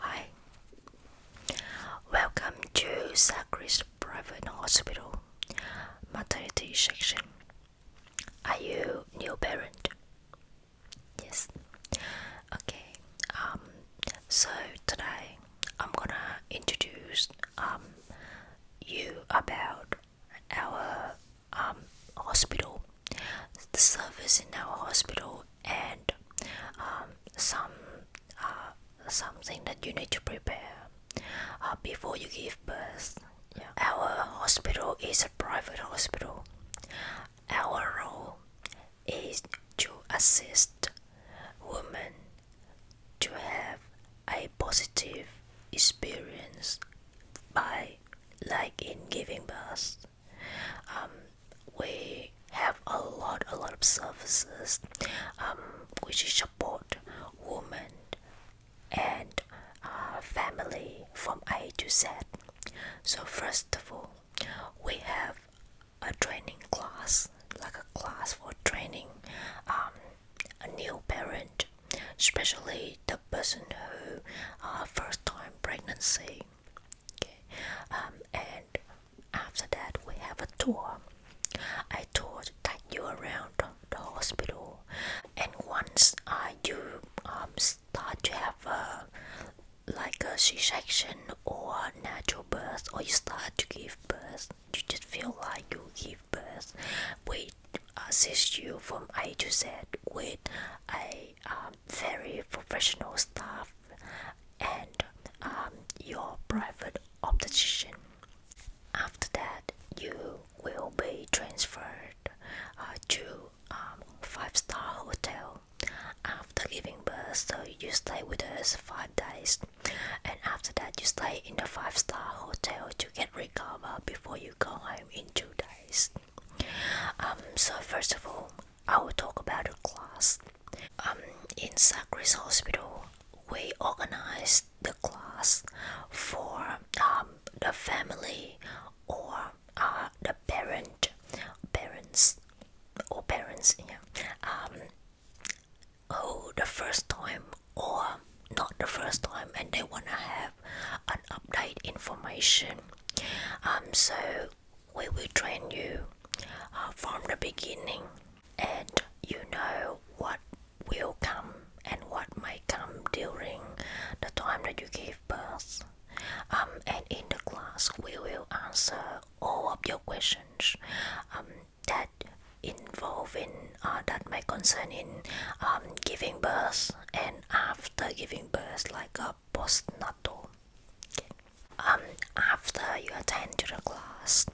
Hi, welcome to Sacris Private Hospital, maternity section. Are you new parent? Yes. Okay. Um. So today I'm gonna introduce um you about our um hospital. The service in our hospital and um, some uh, something that you need to prepare uh, before you give birth. Our hospital is a private hospital. Our role is to assist women to have a positive experience by like in giving birth um, we have a lot a lot of services um, which support women and uh, family from A to Z. So first of all, we have a training class, like a class for training um, a new parent, especially the person who uh, first time pregnancy. and after that, we have a tour. I toured that you around the hospital, and once uh, you um, start to have a like a C-section or natural birth, or you start to give birth, you just feel like you give birth. We assist you from A to Z with a um, very professional staff and um, your private optician. After that, you will be transferred uh, to a um, five-star hotel. After giving birth, you stay with us five days, and after that, you stay in the five-star hotel to get recovered before you go home in two days. Um, so first of all, I will talk about the class. Um, in Sacris Hospital, we organized the class for um, the family or uh, the parent, parents or parents, yeah, um, who the first time or not the first time, and they wanna have an update information. Um, so we will train you uh, from the beginning and you know what will come and what may come during the time that you give birth um, and in the class we will answer all of your questions um, that involving uh, that may concern in um, giving birth and after giving birth like a postnatal um, after you attend to the class,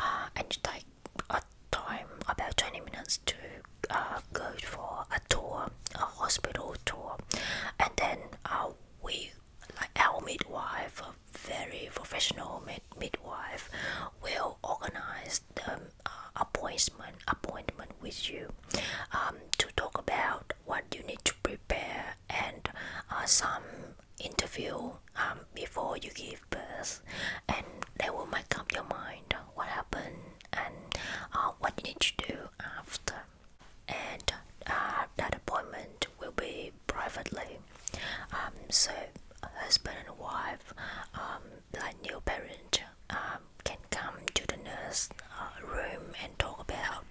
uh, and you take a time about 20 minutes to uh, go for a tour, a hospital tour, and then uh, we, like our midwife, very professional mid midwife, will organize the appointment appointment with you um, to talk about what you need to prepare and uh, some interview um, before you give birth and they will make up your mind what happened and uh, what you need to do after and uh, that appointment will be privately um, so husband and wife um, like new parent um, can come to the nurse room and talk about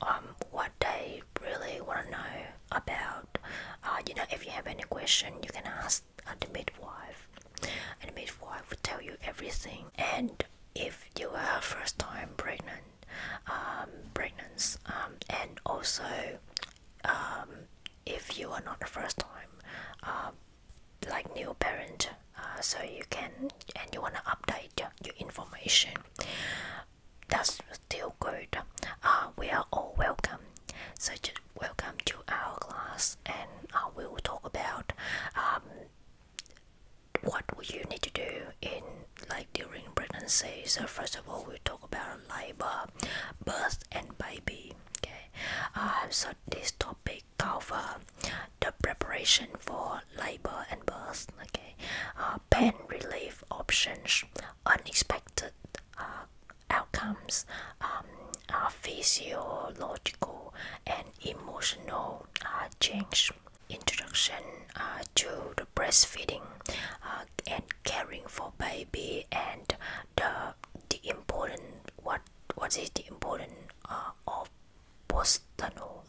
um, what they really want to know about. Uh, you know, if you have any question, you can ask uh, the midwife, and midwife will tell you everything. And if you are first time pregnant, um, pregnant, um, and also um, if you are not the first time, uh, like new parent, uh, so you can and you wanna update your, your information that's still good. Uh, we are all welcome. So just welcome to our class, and uh, we will talk about um, what you need to do in like during pregnancy. So first of all, we talk about labor, birth, and baby. Okay. Uh, so this topic cover the preparation for labor and birth. Okay. Uh, uh, pain relief options, unexpected uh, outcomes, um, uh, physiological and emotional uh, change. Introduction to the breastfeeding and caring for baby and the the important what what is the important of postnatal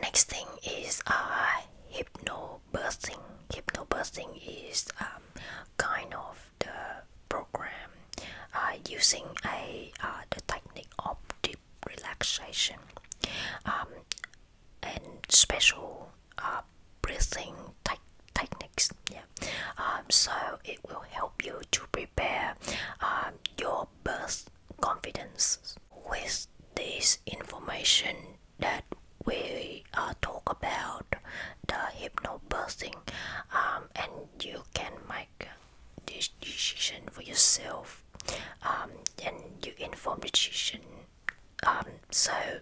Next thing is uh, hypnobirthing. Hypnobirthing is um, kind of the program uh, using a uh, the technique of deep relaxation um, and special uh, breathing techniques. Yeah. Um, so it will help you to prepare um, your birth confidence with this information that we talk about the hypnobirthing um, and you can make this decision for yourself um, and you inform the decision um, so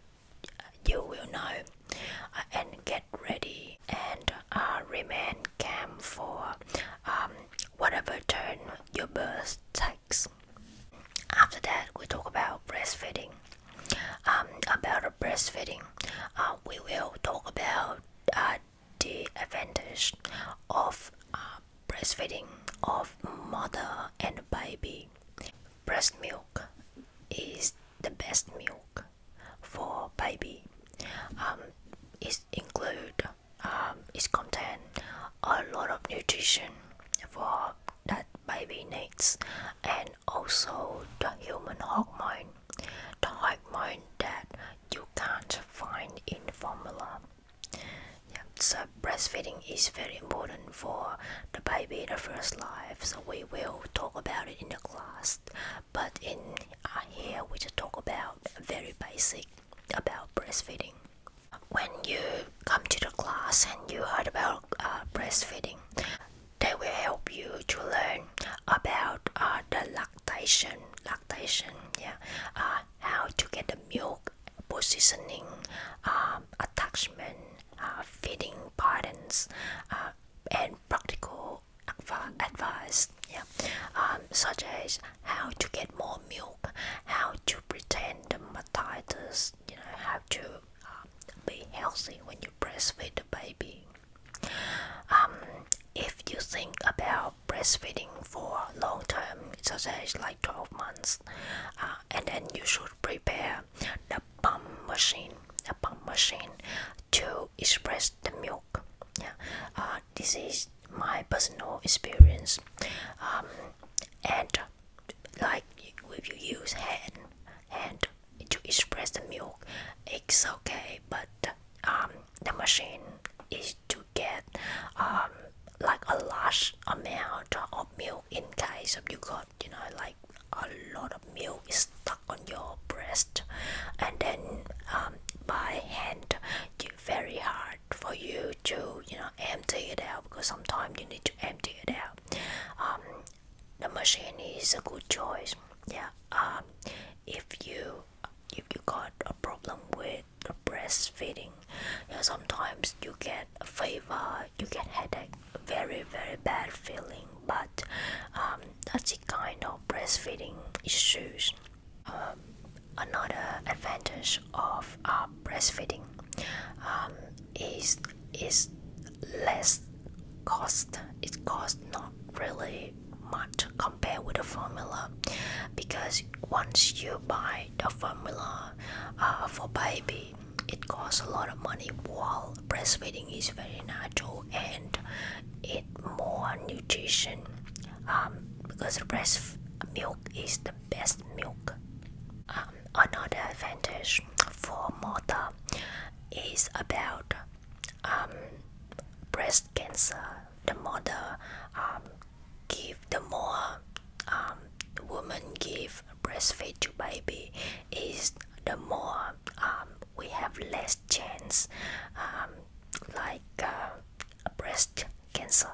you will know uh, and get ready and uh, remain calm for um, whatever turn your birth takes after that, we talk about breastfeeding. Um, about breastfeeding, uh, we will talk about uh, the advantage of uh, breastfeeding of mother and baby. Breast milk is the best milk for baby. Um, it include um, content a lot of nutrition for that baby needs and also the human hormone the hormone that you can't find in formula yeah, so breastfeeding is very important for the baby in the first life so we will talk about it in the class but in uh, here we just talk about very basic about breastfeeding when you come to the class and you heard about uh, breastfeeding, they will help you to learn about uh, the lactation, lactation, yeah, uh, how to get the milk positioning, um, attachment, feeding patterns, and practical advice, yeah, um, such as how to get more milk how to pretend mastitis? you know, how to um, be healthy when you breastfeed the baby. Um, if you think about breastfeeding for long term, so say it's like 12 months, uh, and then you should prepare the pump machine, the pump machine to express the milk. Yeah, uh, this is my personal experience, um, and like if you use hand hand to express the milk it's okay but um the machine is to get um like a large amount of milk in case of you got you know like a lot of milk is stuck on your breast and then um by hand you very hard for you to you know empty it out because sometimes you need to empty it out um, the machine is a good choice yeah um, if you if you got a problem with breastfeeding sometimes you get a fever you get headache very very bad feeling but um, that's the kind of breastfeeding issues another advantage of uh, breastfeeding um, is is less cost. It costs not really much compared with the formula, because once you buy the formula uh, for baby, it costs a lot of money. While breastfeeding is very natural and it more nutrition um, because the breast milk is the best milk. Um, another advantage for mother is about um, breast cancer. The mother um, give the more woman give breastfeed to baby is the more we have less chance like uh, breast cancer.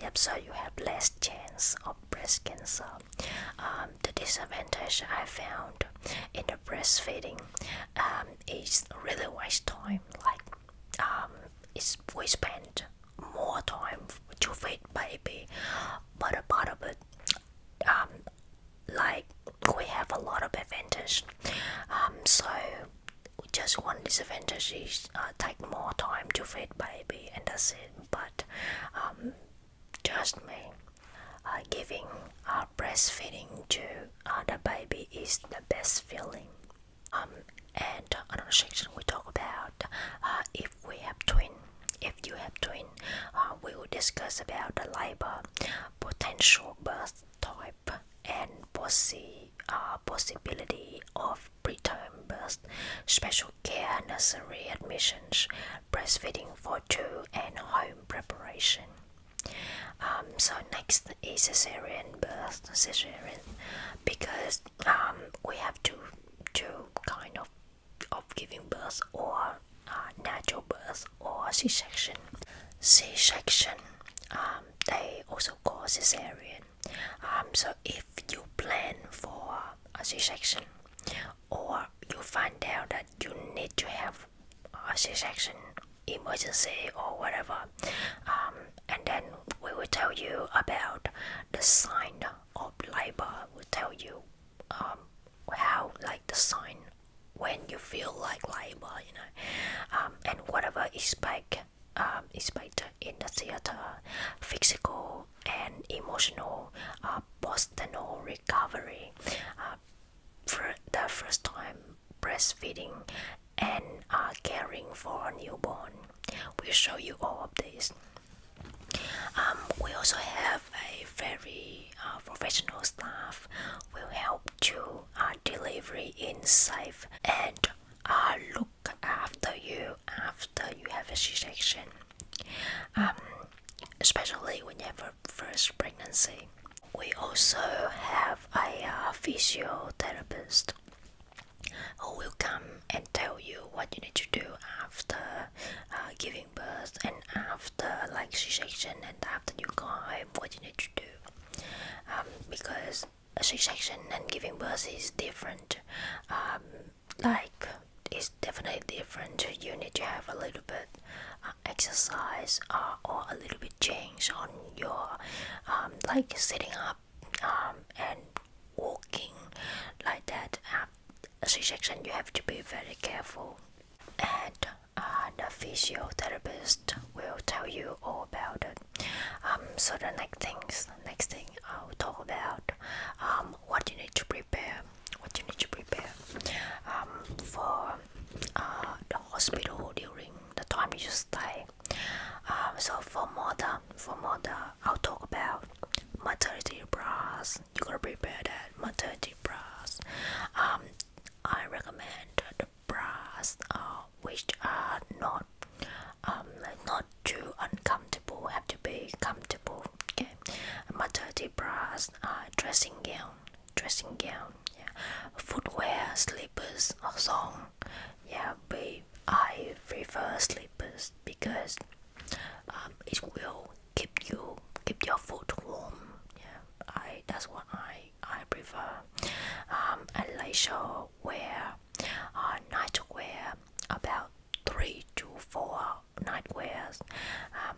Yep, so you have less chance of breast cancer. Um, the disadvantage I found in the breastfeeding um, is really waste time. Like, um, we spend more time to feed baby, but a part of it, um, like we have a lot of advantage. Um, so just one disadvantage is uh, take more time to feed baby and that's it but just um, me uh, giving uh, breastfeeding to uh, the baby is the best feeling um, and another section we talk about uh, if we have twin if you have twin we will discuss about the labor potential birth type and possi possibility of preterm birth, special care nursery admissions, breastfeeding for two, and home preparation. Um, so next is cesarean birth, cesarean, because um, we have to two kind of of giving birth or uh, natural birth or C-section. Um, they also call cesarean. Um, so if you plan for a C-section or you find out that you need to have a C-section emergency or whatever, um, and then we will tell you about the sign of labor. We'll tell you um, how like the sign when you feel like labor, you know, um, and whatever is expect um, inspired in the theater, physical and emotional uh, postnatal recovery, uh, for the first time breastfeeding, and uh, caring for a newborn. we show you all of this. Um, we also have a very uh, professional staff will help to uh, delivery in safe and uh, after you after you have a C section, um, especially when you have a first pregnancy. We also have a uh, physiotherapist who will come and tell you what you need to do after uh, giving birth and after like c-section and after you go home, what you need to do um, because a c-section and giving birth is different um, like it's definitely different you need to have a little bit uh, exercise uh, or a little bit change on your um, like sitting up um, and walking like that uh, you have to be very careful and uh, physiotherapist will tell you all about it um, so the next things next thing I'll talk about um, what you need to prepare, what you need to prepare um, for uh, the hospital during the time you stay. Um, so for mother, for mother, I'll talk about maternity bras. You gotta prepare that maternity bras. I recommend the bras uh, which are not not um not too uncomfortable have to be comfortable okay maternity bras uh, dressing gown dressing gown yeah footwear slippers or song yeah but i prefer slippers because um, it will keep you keep your foot warm yeah i that's what i i prefer um and leisure wear uh, nightwear about three to four nightwears um,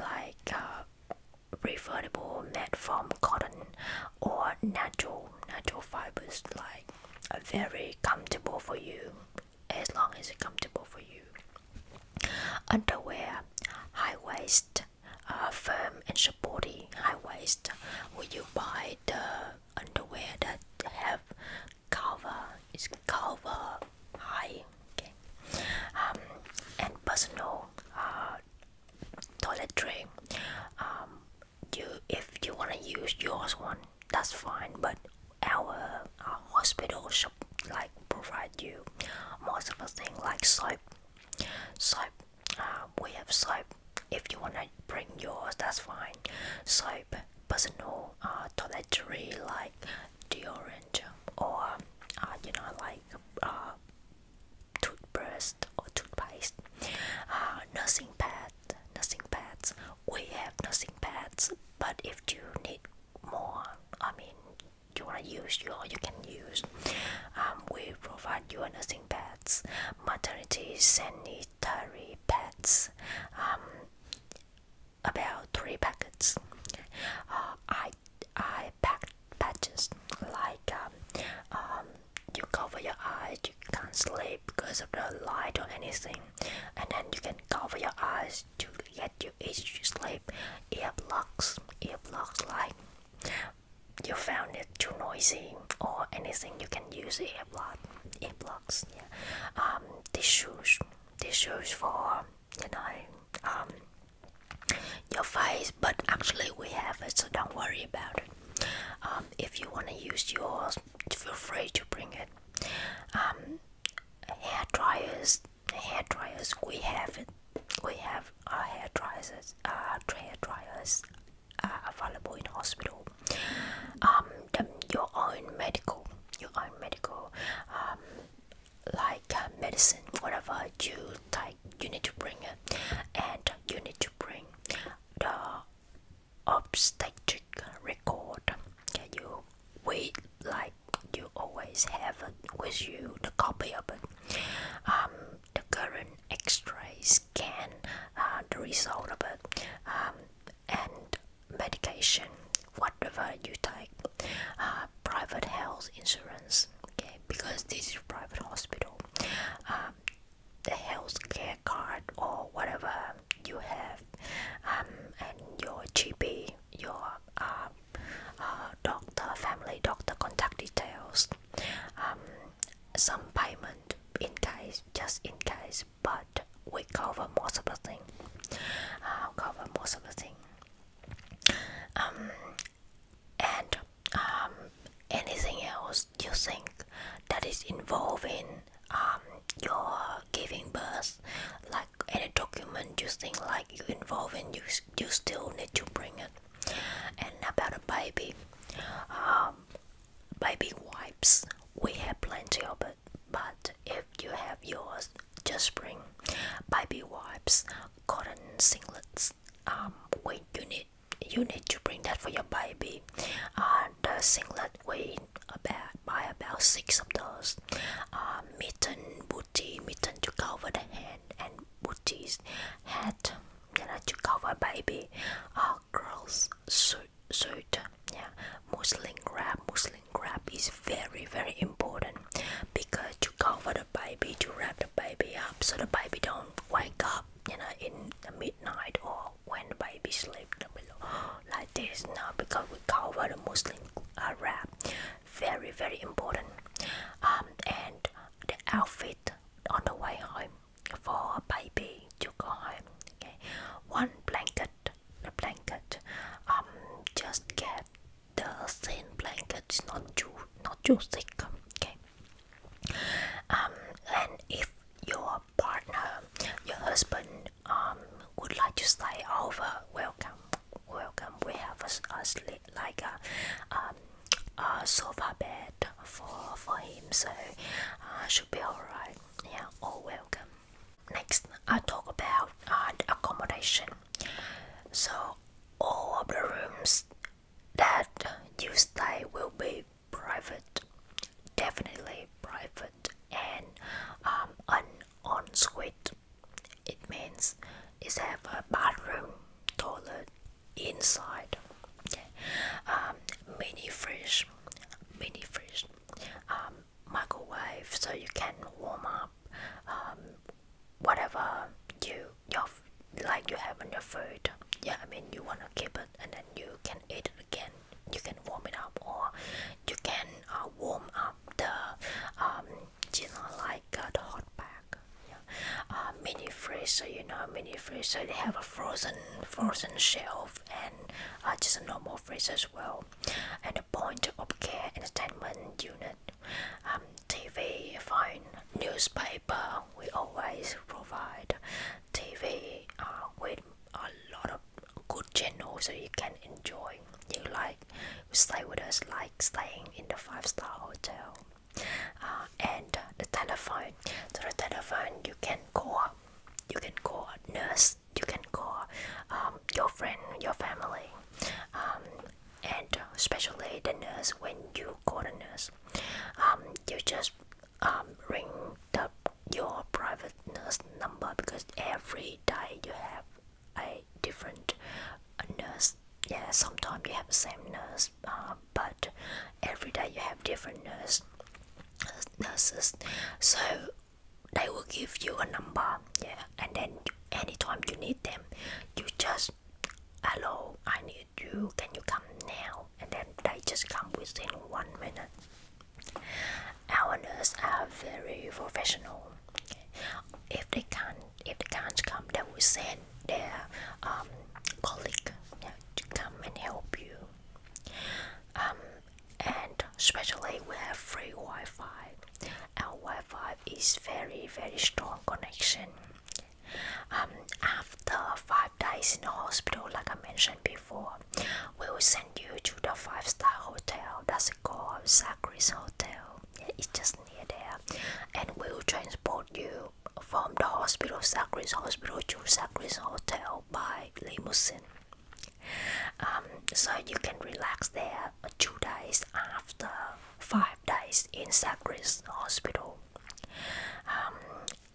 like uh, preferable made from cotton or natural natural fibers like very comfortable for you as long as it's comfortable for you underwear high waist uh, firm and supportive high waist will you buy the underwear that have Cover is cover, high, okay. Um, and personal uh, toiletry. Um, you if you wanna use yours one, that's fine. But our, um, hospital should like provide you most of the thing like soap, soap. Uh, we have soap. If you wanna bring yours, that's fine. Soap personal uh, toiletry like deodorant or uh, you know like uh, toothbrush or toothpaste, uh, nursing pad, nursing pads. We have nursing pads, but if you need more, I mean, you wanna use your, you can use. Um, we provide you nursing pads, maternity sanitary dietary pets um, about three packets uh, I pack patches like um, um, you cover your eyes you can't sleep because of the light or anything and then you can cover your eyes to get you easy to sleep earplugs earplugs like you found it too noisy or anything you can use it earplot, earplugs, yeah, um, these shoes, for you know, um, your face. But actually, we have it, so don't worry about it. Um, if you wanna use yours, feel free to bring it. Um, hair dryers, hair dryers, we have it. We have our hair dryers, uh, hair dryers uh, available in hospital. Um, your own medical, your own medical, um, like uh, medicine, whatever you take, you need to bring it, and you need to bring the obstetric record. Can you wait like you always have it with you the copy of it. Um, the current X-ray scan, uh, the result of it. Um, and medication, whatever you take, uh, private health insurance. Okay, because this is private hospital, um, the healthcare card or whatever you have, um, and your GP, your uh, uh, doctor, family doctor contact details, um, some payment in case, just in case but we cover most of the thing. Uh, cover most of the thing. Um, and um, anything else you think that is involving um, your giving birth, like any document you think like you involving, you you still need to bring it. And about a baby, um, baby wipes. We have plenty of it, but if you have yours, just bring baby wipes, cotton singlets. Um, wait, you need you need to bring that for your baby. And the singlet weight about by about six of those. Uh, mitten, booty, mitten to cover the hand, and booties, hat that to cover baby. Uh, girls suit, suit yeah Muslim wrap Muslim wrap is very very important because to cover the baby to wrap the baby up so the baby don't wake up you know in the midnight or when the baby sleep like this now because we cover the Muslim wrap uh, very very important um and the outfit on the way home for a baby to go Okay, one blanket, the blanket. Um, just get the thin blanket, it's not too, not too thick. Okay. Um, and if your partner, your husband, um, would like to stay over, welcome, welcome. We have a, a sleep, like a, um, a sofa bed for for him, so uh, should be alright yeah, all welcome. Next, i talk about uh, accommodation. So, all of the rooms that you stay will be private, definitely private, and um, an ensuite. It means it have a bathroom, toilet inside. Okay. Um, mini fridge, mini fridge microwave um, so you can warm up um, whatever you your like you have in your food yeah i mean you want to keep it and then you can eat it again you can warm it up or you can uh, warm up the um, you know like uh, the hot pack yeah. uh, mini freezer you know mini freezer they have a frozen frozen shelf and just a normal phrase as well. And the point of care entertainment unit, um, TV, phone, newspaper, we always provide TV uh, with a lot of good channels so you can enjoy. You like stay with us like staying in the five star hotel. Uh, and the telephone, so the telephone you can call, you can call a nurse you can call um, your friend your family um, and uh, especially the nurse when you call the nurse um, you just ring the, your private nurse number because every day you have a different nurse yeah sometimes you have the same nurse uh, but every day you have different nurse nurses so they will give you a number yeah and then anytime you need them you just hello i need you can you come now and then they just come within one minute our nurses are very professional if they can't if they can't come they will send their um colleague to come and help you um and specially, we have free Wi-Fi. Our Wi-Fi is very very strong connection. Um, after five days in the hospital, like I mentioned before, we will send you to the five-star hotel. That's called Sacris Hotel. It's just near there, and we will transport you from the hospital, Sacris Hospital, to Sacris Hotel by limousine. Um, so you can relax there two days after five days in Sagres Hospital. Um,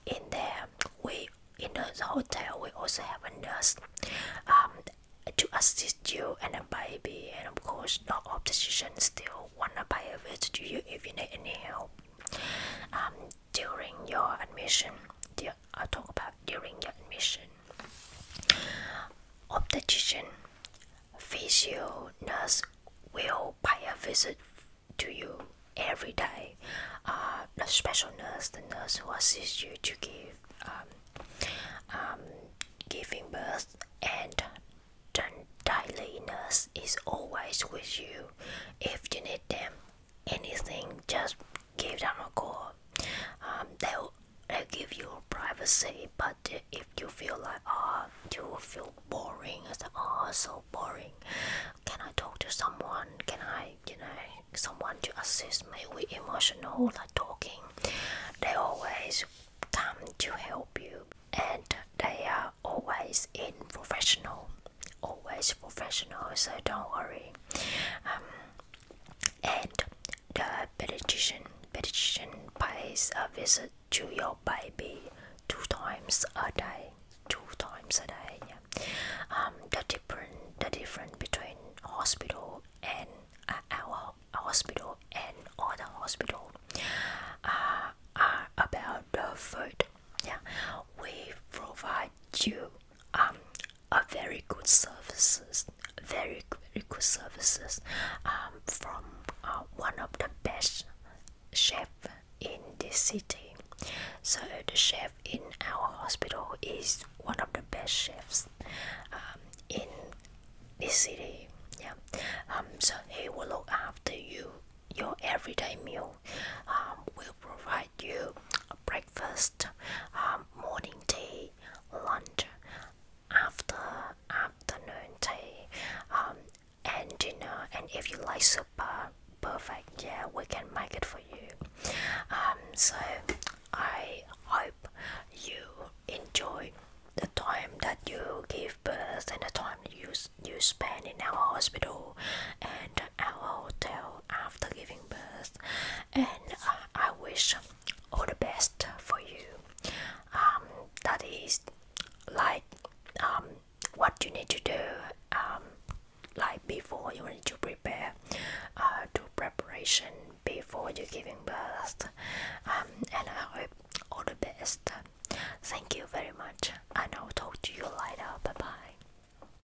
in there, we in the hotel we also have a nurse um, to assist you and a baby, and of course, not obstetrician still wanna buy a visit to you if you need any help during your admission. I'll talk about during your admission. Obstetrician, physio, nurse will pay a visit to you every day. Uh, the special nurse, the nurse who assists you to give um, um giving birth, and the daily nurse is always with you if you need them anything, just give them a call. Um, they'll, they give you privacy, but if you feel like, ah, oh, you feel boring, it's like, oh, so boring. Can I talk to someone? Can I, you know, someone to assist me with emotional like talking? They always come to help you, and they are always in professional always professional, so don't worry. Um, and the pediatrician, pediatrician pays a visit to your baby two times a day. Two times a day. Yeah. Um, the different, the difference between hospital and uh, our hospital and other hospital uh, are about the food. Yeah, we provide you um a very good services, very very good services um, from uh, one of the best chef in this city. So the chef in our hospital is one of the best chefs um, in this city. Yeah. Um. So he will look after you, your everyday meal. Um. Will provide you a break First, um, morning tea, lunch, after afternoon tea, um, and dinner. And if you like super perfect, yeah, we can make it for you. Um, so I hope you enjoy the time that you give birth and the time you you spend in our hospital and our hotel after giving birth, and uh, I wish all the best for you. Um, that is like um, what you need to do, um, like before you need to prepare, uh, do preparation before you giving birth. Um, and I hope all the best. Thank you very much, and I'll talk to you later. Bye bye.